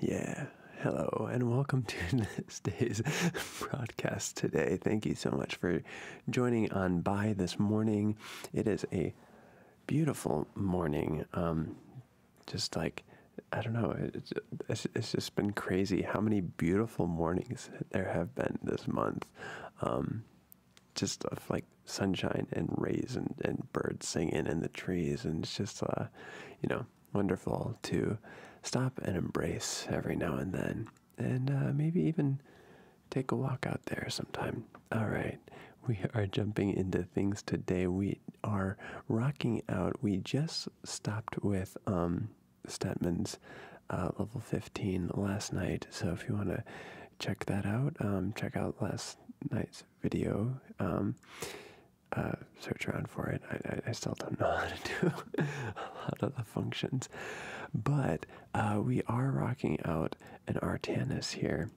Yeah. Hello and welcome to this day's broadcast today. Thank you so much for joining on by this morning. It is a beautiful morning. Um, just like I don't know. It's, it's, just been crazy how many beautiful mornings there have been this month. Um, just of like sunshine and rays and, and birds singing in the trees. And it's just, uh, you know, wonderful to stop and embrace every now and then. And uh, maybe even take a walk out there sometime. All right. We are jumping into things today. We are rocking out. We just stopped with um, Stetman's uh, level 15 last night. So if you want to check that out, um, check out last night's video. Um, uh, search around for it. I, still don't know how to do a lot of the functions. But uh, we are rocking out an Artanis here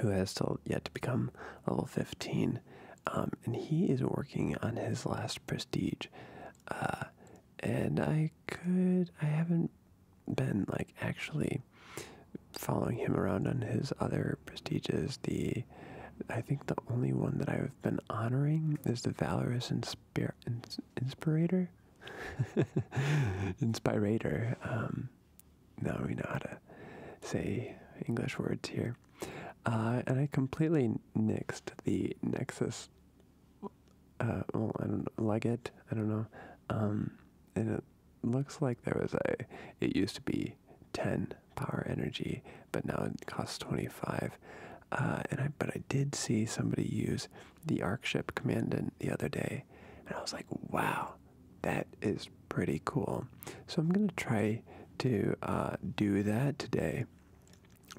who has still yet to become level 15. Um, and he is working on his last prestige. Uh, and I could, I haven't been like actually following him around on his other prestiges. The, I think the only one that I've been honoring is the Valorous Inspir Inspirator. Inspirator. Um, now we know how to say English words here. Uh, and I completely nixed the Nexus. Uh, well, I don't like it. I don't know. Um, and it looks like there was a. It used to be ten power energy, but now it costs twenty-five. Uh, and I, but I did see somebody use the Arc Ship Commandant the other day, and I was like, wow, that is pretty cool. So I'm going to try to uh, do that today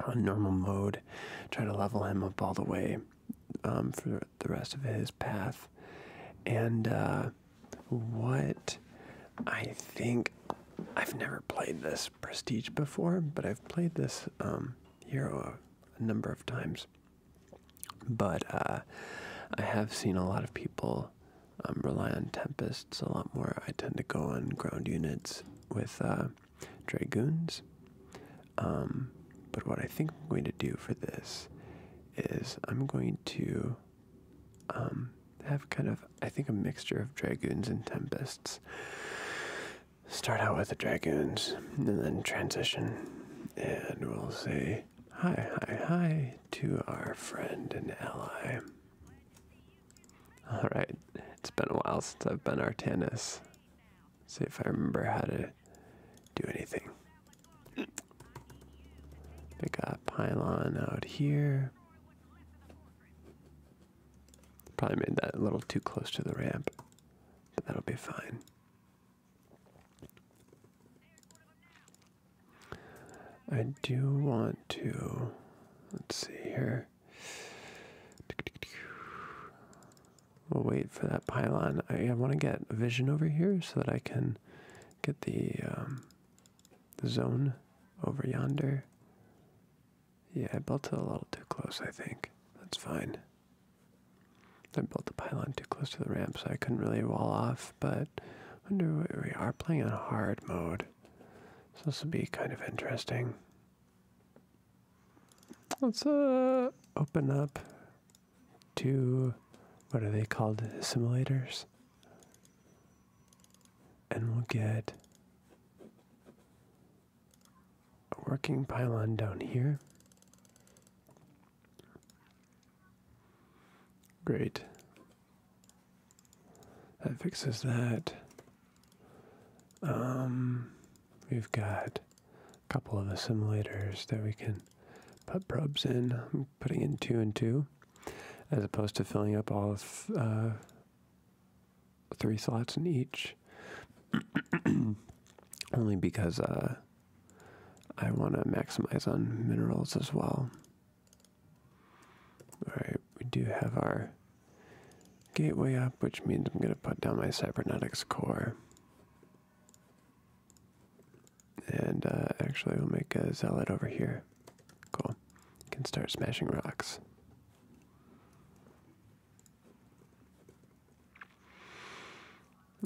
on normal mode, try to level him up all the way um, for the rest of his path. And uh, what I think I've never played this prestige before, but I've played this um, hero a, number of times. But uh, I have seen a lot of people I um, rely on Tempests a lot more. I tend to go on ground units with uh, Dragoons. Um, but what I think I'm going to do for this is I'm going to um, have kind of, I think, a mixture of Dragoons and Tempests. Start out with the Dragoons and then transition. And we'll say hi, hi, hi to our friend and ally. Alright, it's been a while since I've been Artanis. See if I remember how to do anything. I got pylon out here. Probably made that a little too close to the ramp, but that'll be fine. I do want to, let's see here. We'll wait for that pylon. I, want to get vision over here so that I can get the, um, the zone over yonder. Yeah, I built it a little too close, I think. That's fine. I built the pylon too close to the ramp, so I couldn't really wall off, but I wonder we are playing in hard mode. So this will be kind of interesting. Let's uh, open up to what are they called? Simulators. And we'll get a working pylon down here. Great. That fixes that. Um, we've got a couple of assimilators that we can put probes in. I'm putting in two and two, as opposed to filling up all uh, three slots in each. Only because uh, I want to maximize on minerals as well. Alright, we do have our gateway up, which means I'm going to put down my cybernetics core. And uh, actually, we'll make a zealot over here. Cool. Can start smashing rocks.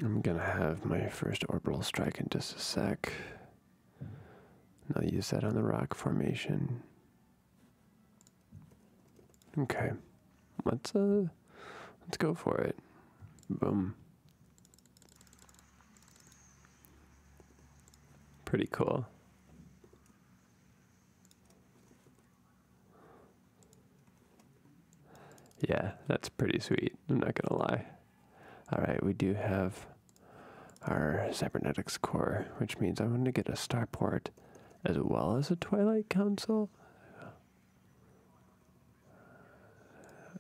I'm gonna have my first orbital strike in just a sec. Now use that on the rock formation. Okay, let's uh, let's go for it. Boom. Pretty cool. Yeah, that's pretty sweet. I'm not gonna lie. All right, we do have our cybernetics core, which means I want to get a starport as well as a twilight council.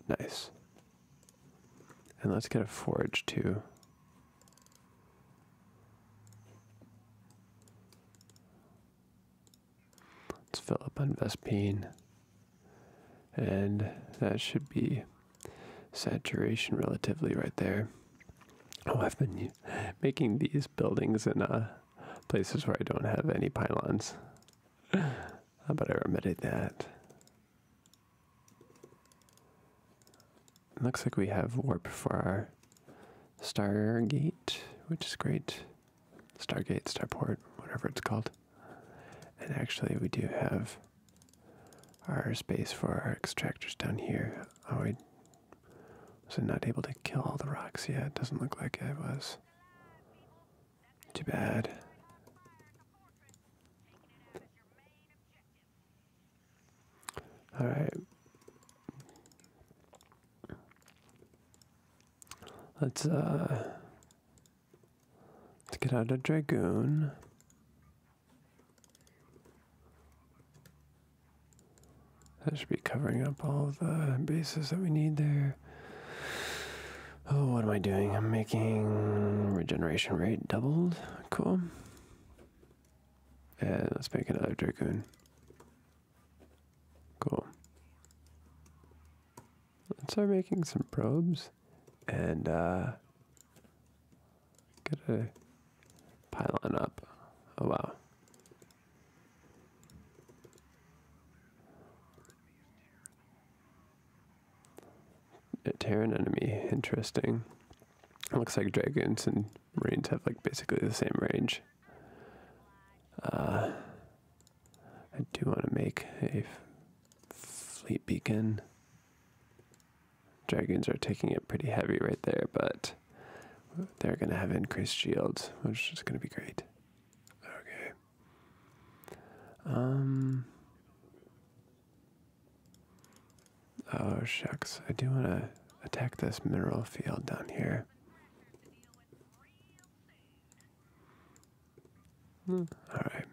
Nice. And let's get a forge too. Let's fill up on vespin, And that should be saturation relatively right there. Oh, I've been making these buildings in uh, places where I don't have any pylons. How about I remedied that? Looks like we have warp for our Stargate, which is great. Stargate, Starport, whatever it's called. And actually, we do have our space for our extractors down here. Oh, I was not able to kill all the rocks yet. Yeah, it doesn't look like I was. Too bad. All right. Let's uh let's get out a dragoon. That should be covering up all the bases that we need there. Oh, what am I doing? I'm making regeneration rate doubled. Cool. And let's make another dragoon. Cool. Let's start making some probes. And, uh, Get a pylon up. Oh wow. A Terran enemy, interesting. Looks like dragons and marines have like basically the same range. Uh, I do want to make a fleet beacon. Dragons are taking it pretty heavy right there, but they're going to have increased shields, which is going to be great. Okay. Um. Oh, shucks. I do want to attack this mineral field down here. Hmm. Alright.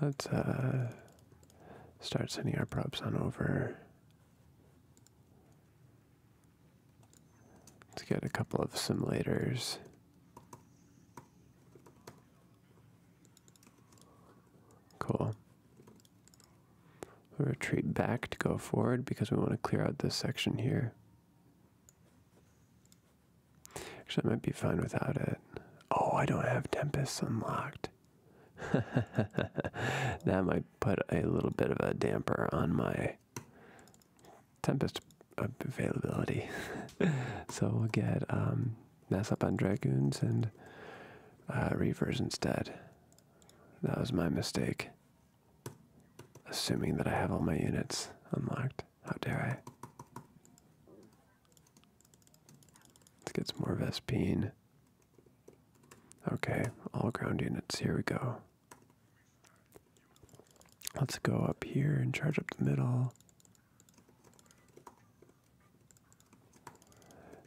Let's uh, start sending our props on over. Let's get a couple of simulators. Cool. retreat back to go forward because we want to clear out this section here. Actually, I might be fine without it. Oh, I don't have Tempest unlocked. that might put a little bit of a damper on my Tempest availability. so we'll get um, Mess Up on Dragoons and uh, Reavers instead. That was my mistake. Assuming that I have all my units unlocked. How dare I? Let's get some more Vespine. Okay, all ground units, here we go. Let's go up here and charge up the middle.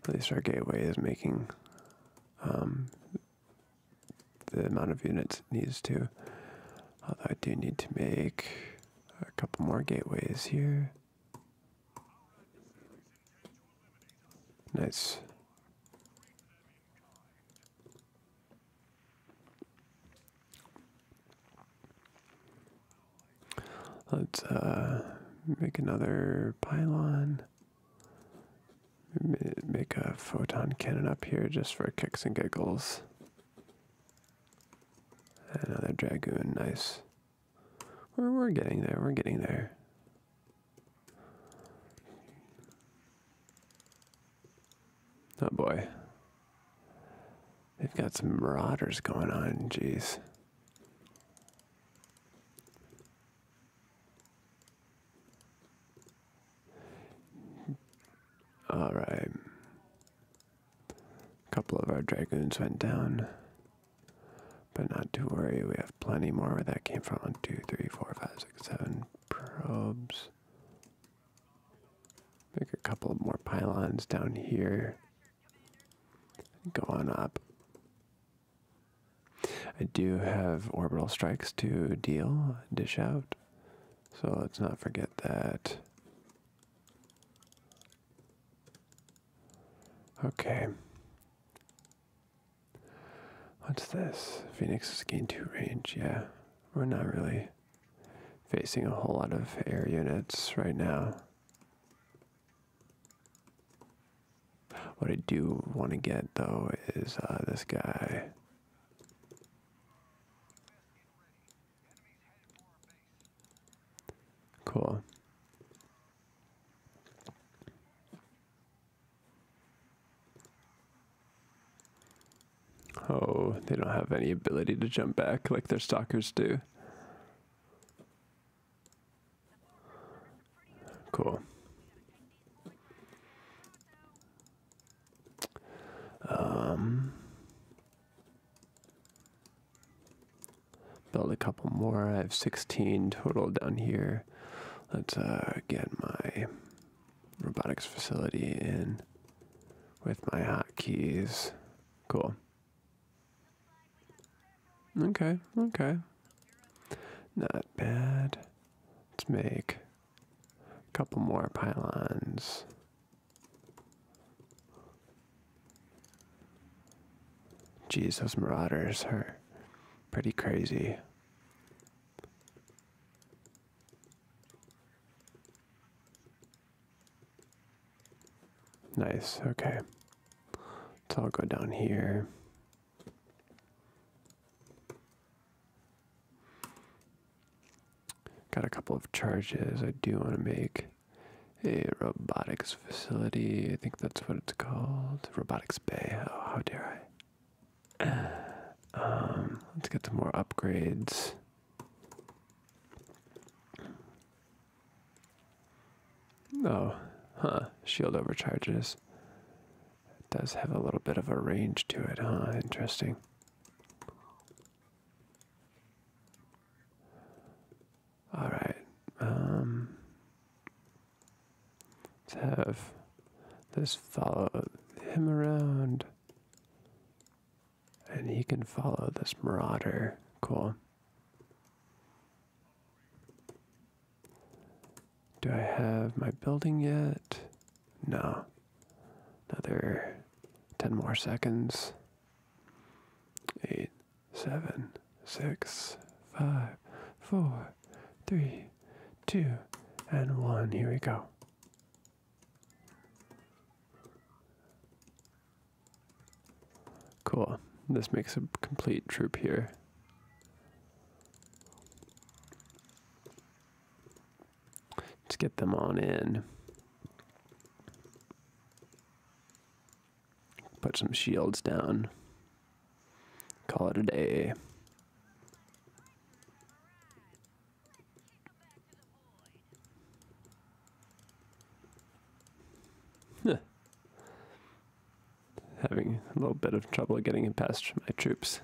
At least our gateway is making um, the amount of units it needs to. Although I do need to make a couple more gateways here. Nice. Let's uh, make another pylon. Make a photon cannon up here just for kicks and giggles. Another dragoon, nice. We're, we're getting there, we're getting there. Oh boy. They've got some marauders going on, jeez. All right. A couple of our dragoons went down, but not to worry, we have plenty more where that came from. One, two, three, four, five, six, seven probes. Make a couple more pylons down here. Go on up. I do have orbital strikes to deal, dish out, so let's not forget that. Okay. What's this? Phoenix is gain 2 range. Yeah, we're not really facing a whole lot of air units right now. What I do want to get though is uh, this guy. Cool. Oh, they don't have any ability to jump back like their stalkers do. Cool. Um Build a couple more. I have 16 total down here. Let's uh, get my robotics facility in with my hotkeys. Cool. Okay, okay. Not bad. Let's make a couple more pylons. Jeez, those marauders are pretty crazy. Nice, okay. So I'll go down here. Got a couple of charges I do want to make a robotics facility. I think that's what it's called. Robotics Bay. how dare I? Um, let's get some more upgrades. No, oh, huh. Shield overcharges. does have a little bit of a range to it, huh? Interesting. All right. Um, let's have this follow him around. And he can follow this marauder. Cool. Do I have my building yet? No. Another 10 more seconds. 8, seven, six, five, four, three, two, and one. Here we go. Cool. This makes a complete troop here. Let's get them on in. Put some shields down. Call it a day. Having a little bit of trouble getting it past my troops.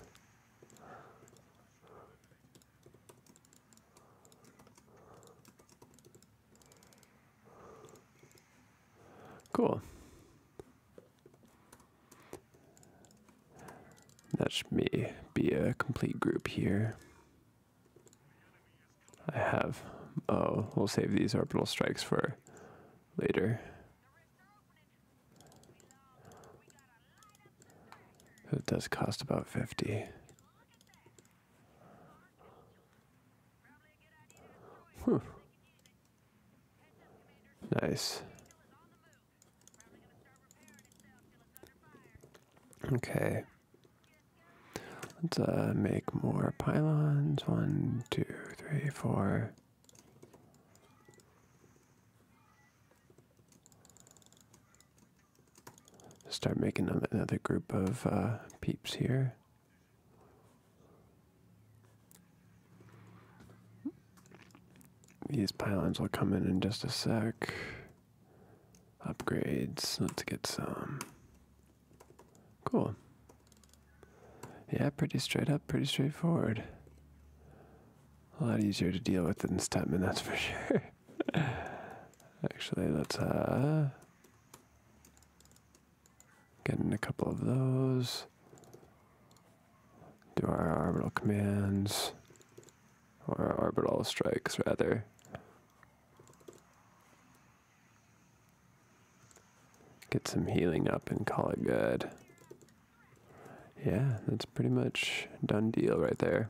Cool. That should be, a complete group here. I have. Oh, we'll save these orbital strikes for later. It does cost about 50. Nice. Okay. Let's uh, make more pylons. One, two, three, four. Start making another group of uh, peeps here. These pylons will come in in just a sec. Upgrades. Let's get some. Cool. Yeah, pretty straight up, pretty straightforward. A lot easier to deal with than Stepman, that's for sure. Actually, let's uh Get in a couple of those. Do our orbital commands, or our orbital strikes rather. Get some healing up and call it good. Yeah, that's pretty much done deal right there.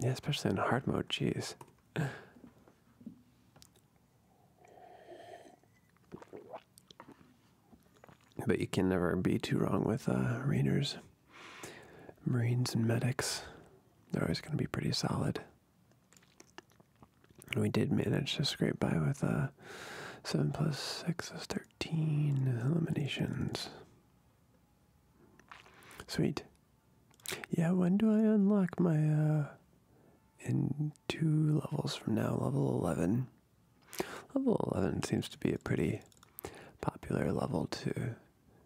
Yeah, especially in hard mode, jeez. But you can never be too wrong with uh, Marines and medics. They're always going to be pretty solid. we did manage to scrape by with uh, 7 plus 6 is 13 eliminations. Sweet. Yeah, when do I unlock my uh in two levels from now, level 11? Level 11 seems to be a pretty popular level to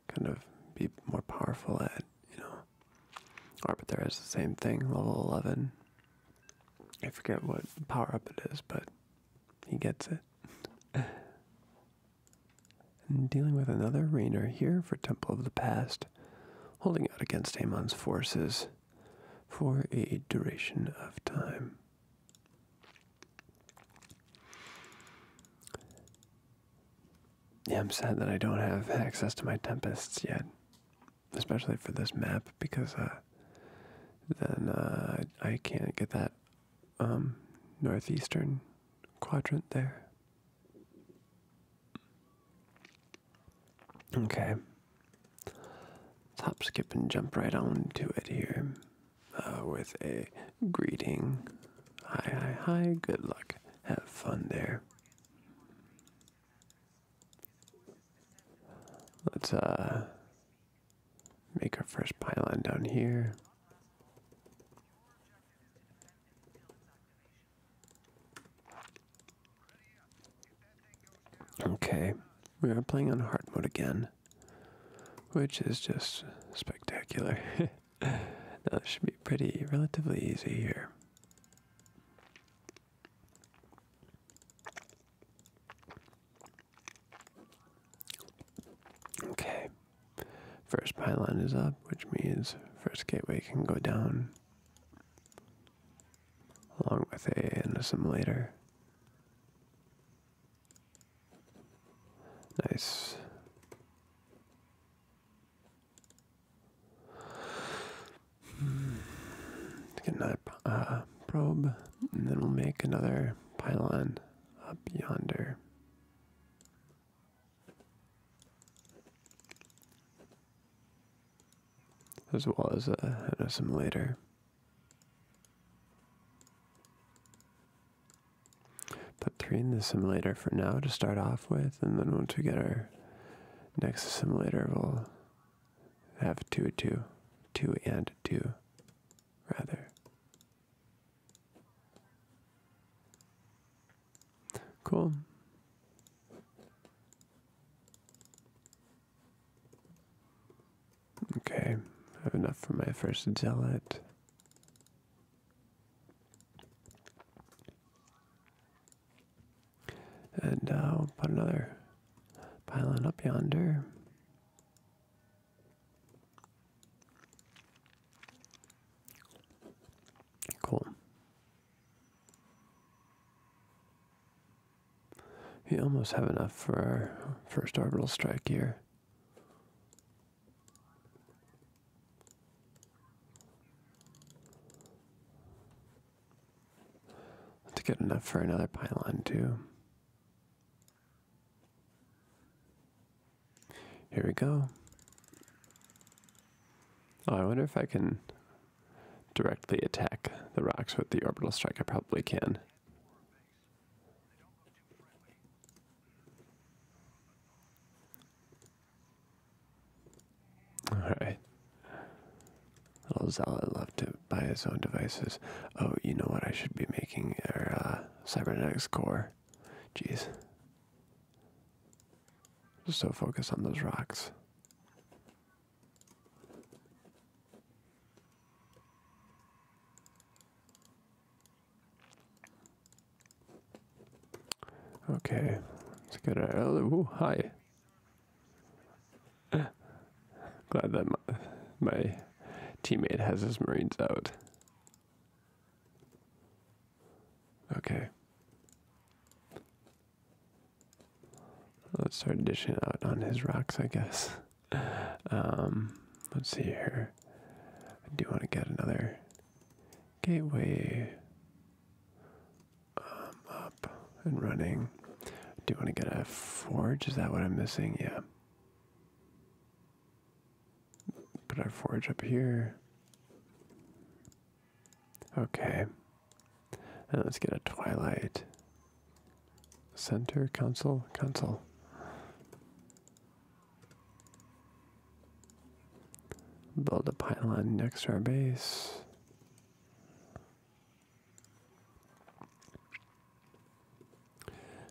kind of be more powerful at, you know. Arbiter is the same thing, level 11. I forget what power up it is, but he gets it. and dealing with another Rainer here for Temple of the Past, holding out against Amon's forces for a duration of time. Yeah, I'm sad that I don't have access to my Tempests yet, especially for this map, because uh, then uh, I can't get that um, northeastern quadrant there. Okay. Top skip and jump right on to it here uh, with a greeting. Hi, hi, hi, good luck. Have fun there. Let's uh, make our first pylon down here. Okay, we are playing on hard mode again, which is just spectacular. now, this should be pretty relatively easy here. Okay. First pylon is up, which means first gateway can go down along with a, an assimilator. Nice. Hmm. Get another uh, probe, and then we'll make another pylon up yonder as well as uh, an assimilator. Put three in the assimilator for now to start off with, and then once we get our next assimilator, we'll have two, two, two, and two, rather. Cool. Okay, I have enough for my first zealot. And uh, I'll put another pylon up yonder. Cool. We almost have enough for our first orbital strike here. To get enough for another pylon, too. Here we go. Oh, I wonder if I can directly attack the rocks with the orbital strike. I probably can. Alright. Little Zealot loved to buy his own devices. Oh, you know what? I should be making our uh, cybernetics core. Jeez. Just so focused on those rocks. Okay, let's get our. Oh, hi. Glad that my teammate has his Marines out. Okay. Let's start dishing out on his rocks, I guess. Um, let's see here. I do want to get another gateway um, up and running. I do want to get a forge. Is that what I'm missing? Yeah. Put our forge up here. Okay. And let's get a Twilight Center Council Council. Build a pylon next to our base.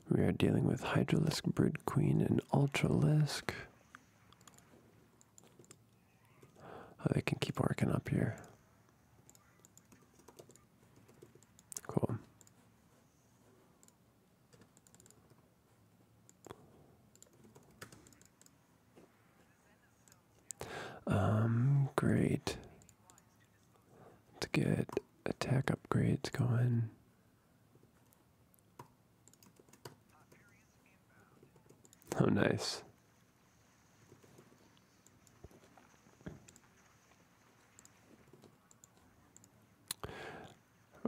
We are dealing with Hydralisk, Brood Queen, and Ultralisk. Oh, they can keep working up here. Cool. Um, great. To get attack upgrades going. Oh, nice. I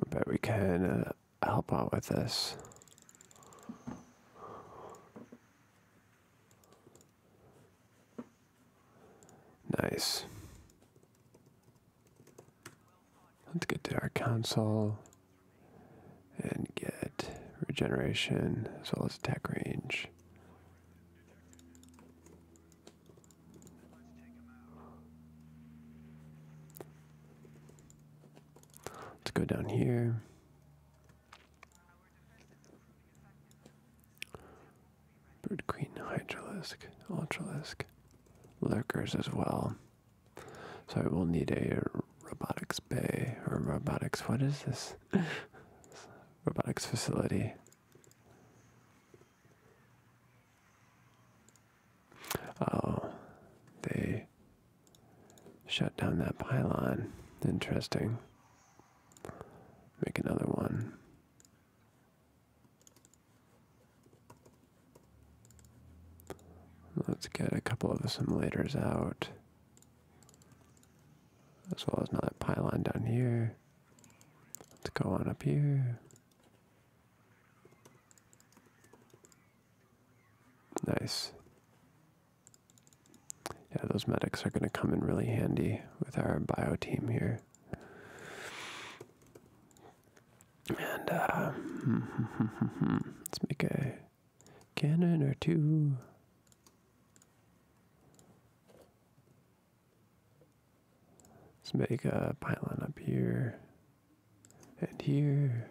bet we can uh, help out with this. Nice. Let's get to our console and get regeneration as well as attack range. Let's go down here. Bird Queen, Hydralisk, Ultralisk, Lurkers as well. So we'll need a robotics bay or robotics. What is this? robotics facility. Oh, they shut down that pylon. Interesting. Make another one. Let's get a couple of assimilators out. As well as another pylon down here. Let's go on up here. Nice. Yeah, those medics are going to come in really handy with our bio team here. And uh, let's make a Cannon or two. Let's make a pylon up here and here.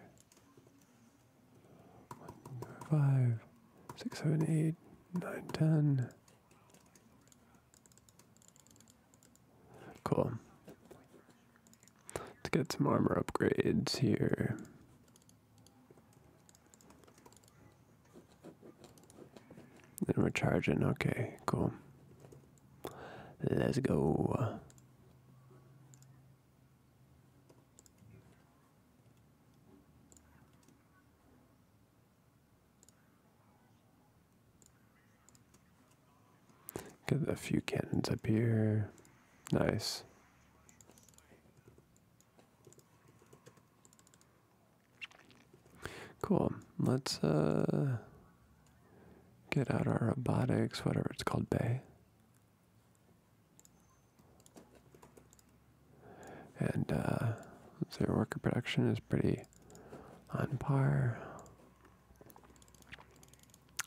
One, five, six, seven, eight, nine, ten. Cool. Let's get some armor upgrades here. Then we're charging. Okay, cool. Let's go. Get a few cannons up here. Nice. Cool. Let's uh, get out our robotics, whatever it's called, bay. And uh, let worker production is pretty on par.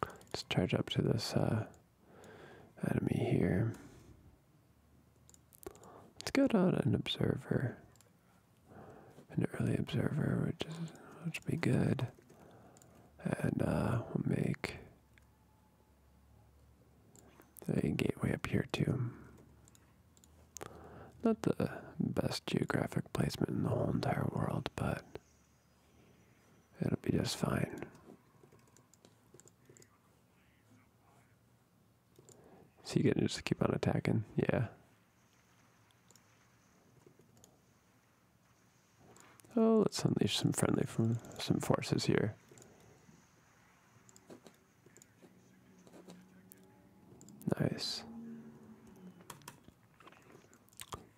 Let's charge up to this uh, enemy here. Let's go down an observer, an early observer, which is which would be good, and uh, we'll make a gateway up here too. Not the best geographic placement in the whole entire world, but It'll be just fine. So you can just keep on attacking? Yeah. Oh, let's unleash some friendly from some forces here. Nice.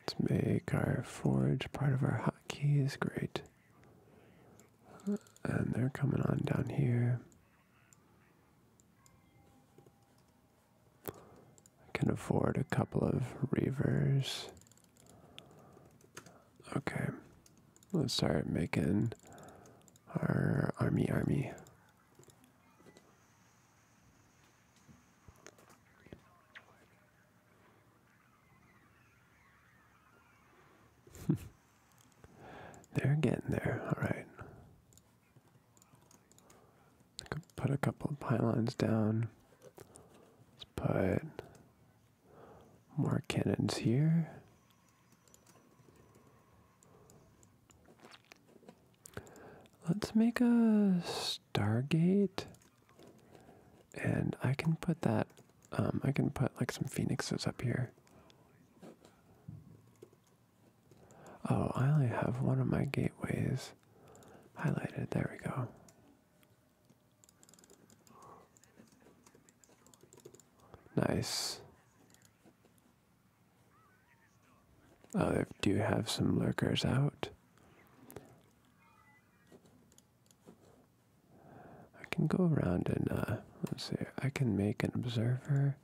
Let's make our forge part of our hotkeys. Great. And they're coming on down here. I can afford a couple of reavers. Okay. Let's start making our army army. They're getting there, alright. I could put a couple of pylons down. Let's put more cannons here. Let's make a Stargate. And I can put that, um, I can put like some phoenixes up here. Oh, I only have one of my gateways highlighted. There we go. Nice. Oh, they do have some lurkers out. I can go around and, uh, let's see, I can make an observer,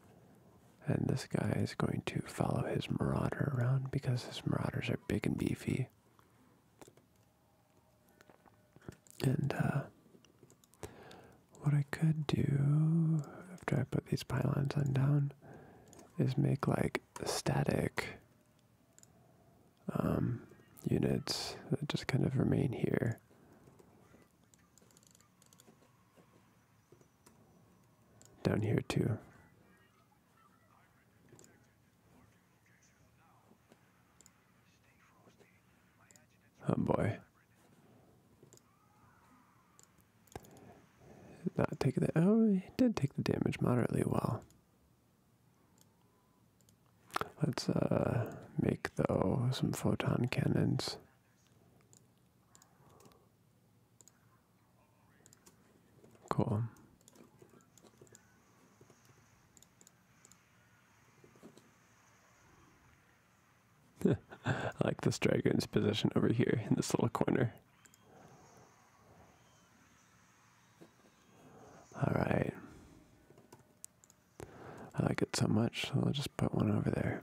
and this guy is going to follow his marauder around because his marauders are big and beefy. And, uh, what I could do after I put these pylons on down is make like static um, units that just kind of remain here. Down here too. Oh boy. Not taking that. oh, he did take the damage moderately well. Let's uh, make though some photon cannons. Cool. I like this dragon's position over here in this little corner. All right. I like it so much, so I'll just put one over there.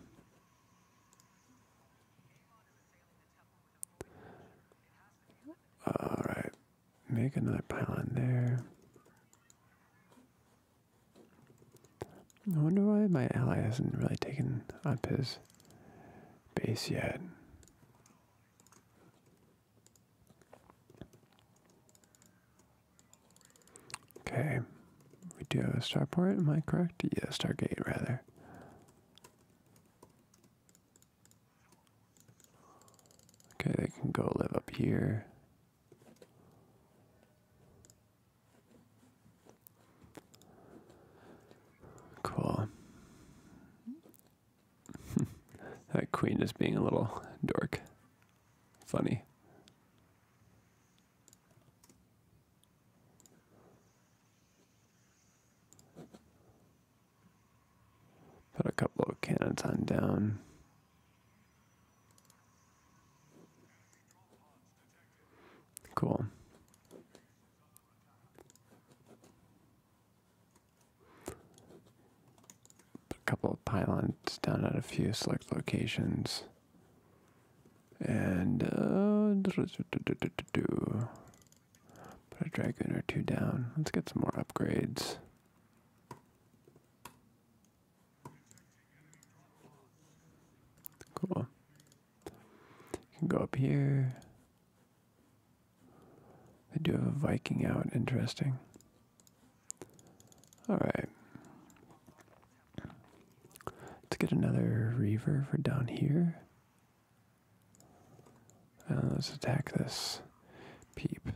All right. Make another pylon there. I wonder why my ally hasn't really taken up his base yet. Okay, we do have a starport, am I correct? Yeah, gate rather. Okay, they can go live up here. Cool. that queen is being a little dork. Funny. Put a couple of cannons on down. Cool. Put A couple of pylons down at a few select locations. And uh, put a dragon or two down. Let's get some more upgrades. Cool. can go up here. I do have a Viking out. Interesting. All right. Let's get another reaver for down here. Uh, let's attack this peep.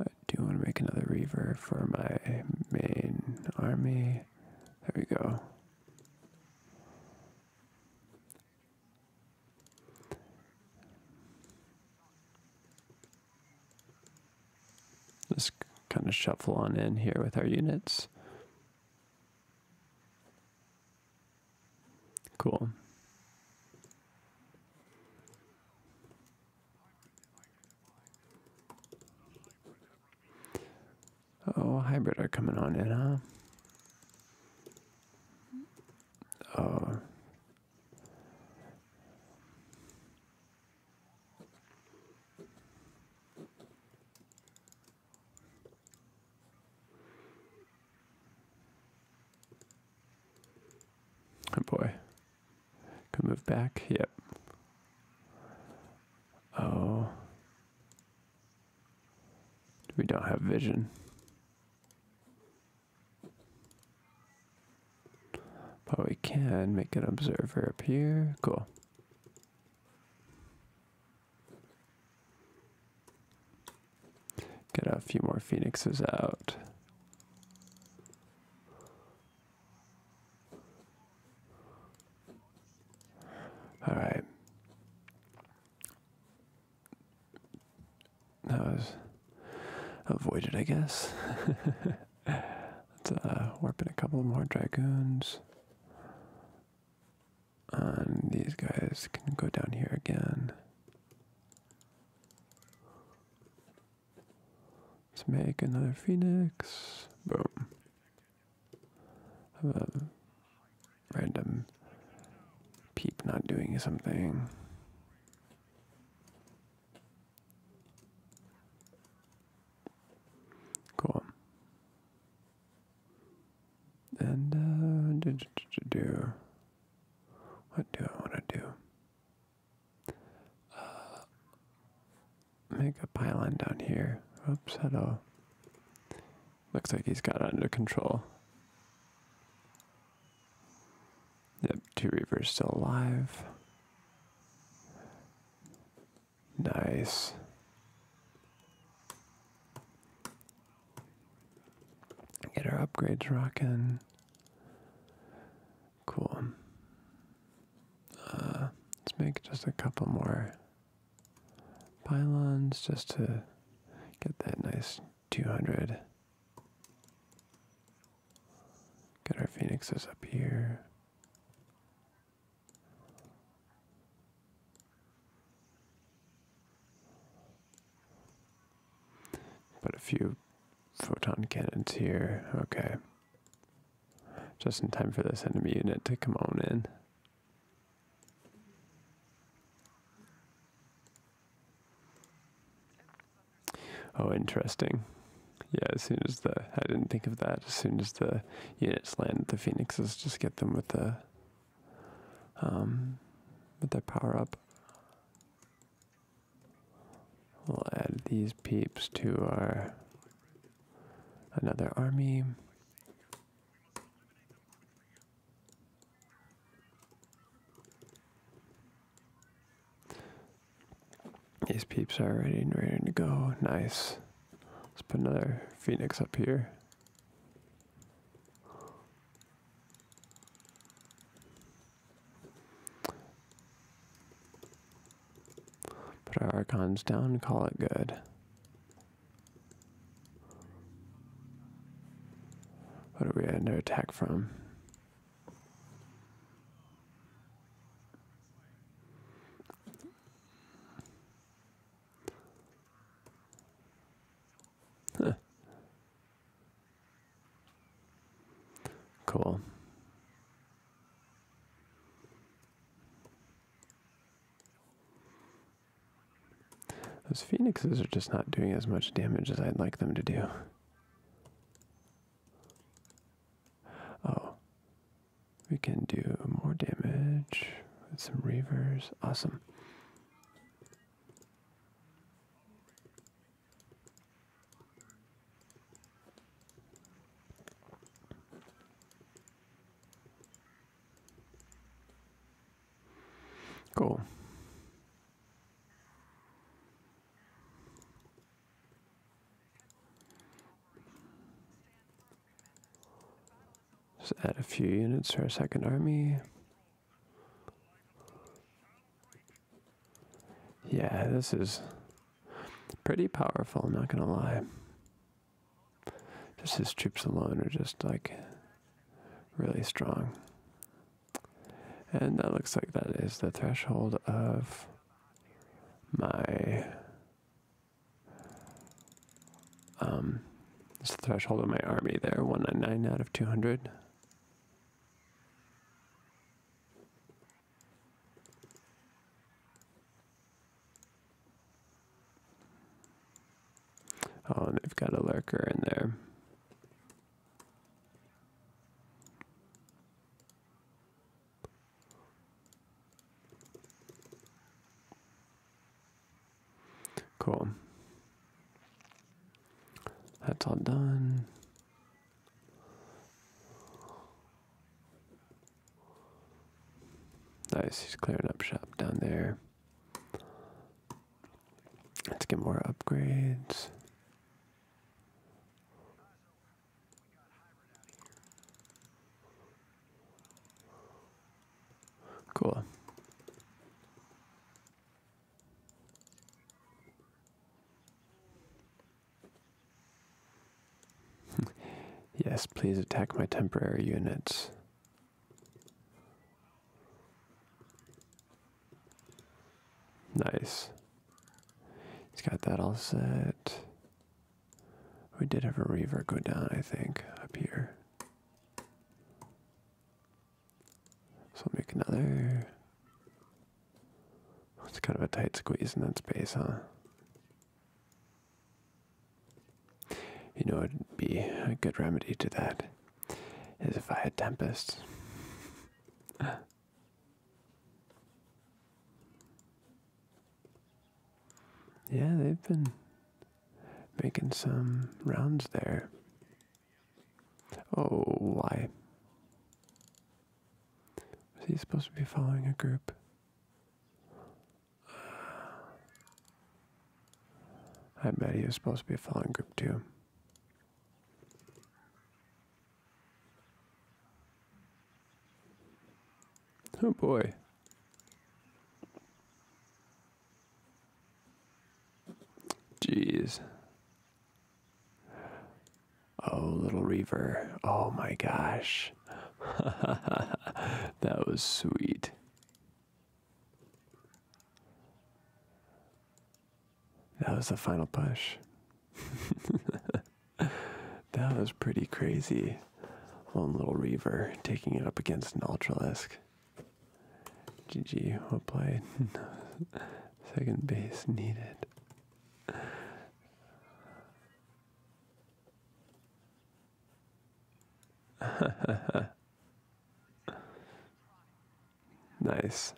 I do want to make another reaver for my main army. There we go. Just kind of shuffle on in here with our units. Cool. Oh, hybrid are coming on in, huh? Oh. Oh boy. Can move back. Yep. Oh. We don't have vision. But we can make an observer appear. Cool. Get a few more phoenixes out. All right that was avoided, I guess. Let's uh, warp in a couple more dragoons. And these guys can go down here again. Let's make another phoenix. Boom a random peep not doing something. Cool. And uh, do, do, do, do what do I want to do? Uh, make a pylon down here. Oops, hello. Looks like he's got under control. Yep, two Reavers still alive. Nice. Get our upgrades rocking. Cool. Uh, let's make just a couple more pylons just to get that nice 200. Get our phoenixes up here. Put a few photon cannons here. Okay. Just in time for this enemy unit to come on in. Oh, interesting. Yeah, as soon as the. I didn't think of that. As soon as the units land, the phoenixes just get them with the. Um, with their power up. We'll add these peeps to our. Another army. These peeps are ready and ready to go. Nice. Let's put another phoenix up here. Put our archons down, call it good. What are we under attack from? Cool. Those phoenixes are just not doing as much damage as I'd like them to do. Oh, we can do more damage with some reavers. Awesome. Cool. Just add a few units to our second army. Yeah, this is pretty powerful, I'm not going to lie. Just his troops alone are just like really strong. And that looks like that is the threshold of my um threshold of my army there, 199 out of 200. Oh, and they've got a lurker in there. Cool. That's all done. Nice, he's clearing up shop down there. Let's get more upgrades. Cool. yes, please attack my temporary units. Nice. He's got that all set. We did have a reverb go down, I think, up here. So make another. It's kind of a tight squeeze in that space, huh? You know, it'd be a good remedy to that is if I had tempests. Yeah, they've been making some rounds there. Oh, why? Was he supposed to be following a group? I bet he was supposed to be a falling group too. Oh boy. Jeez. Oh, little Reaver. Oh my gosh. that was sweet. That was the final push. that was pretty crazy. One little Reaver taking it up against an Ultralisk. GG, well play? Second base needed. Nice.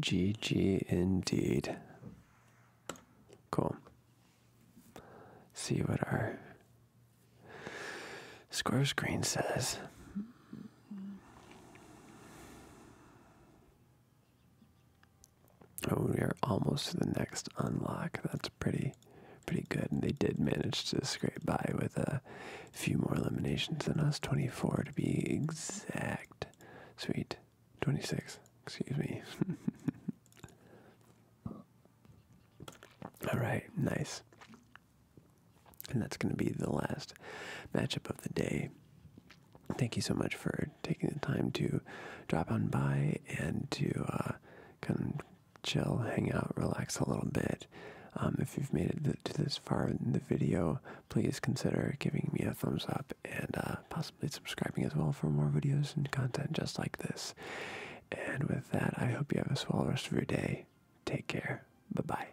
GG indeed. Cool. See what our score screen says. Oh, we are almost to the next unlock. That's pretty pretty good, and they did manage to scrape by with a few more eliminations than us, 24 to be exact. Sweet, 26, excuse me. All right, nice. And that's going to be the last matchup of the day. Thank you so much for taking the time to drop on by and to uh, come chill, hang out, relax a little bit. Um, if you've made it to this far in the video, please consider giving me a thumbs up and uh, possibly subscribing as well for more videos and content just like this. And with that, I hope you have a swell rest of your day. Take care. Bye bye.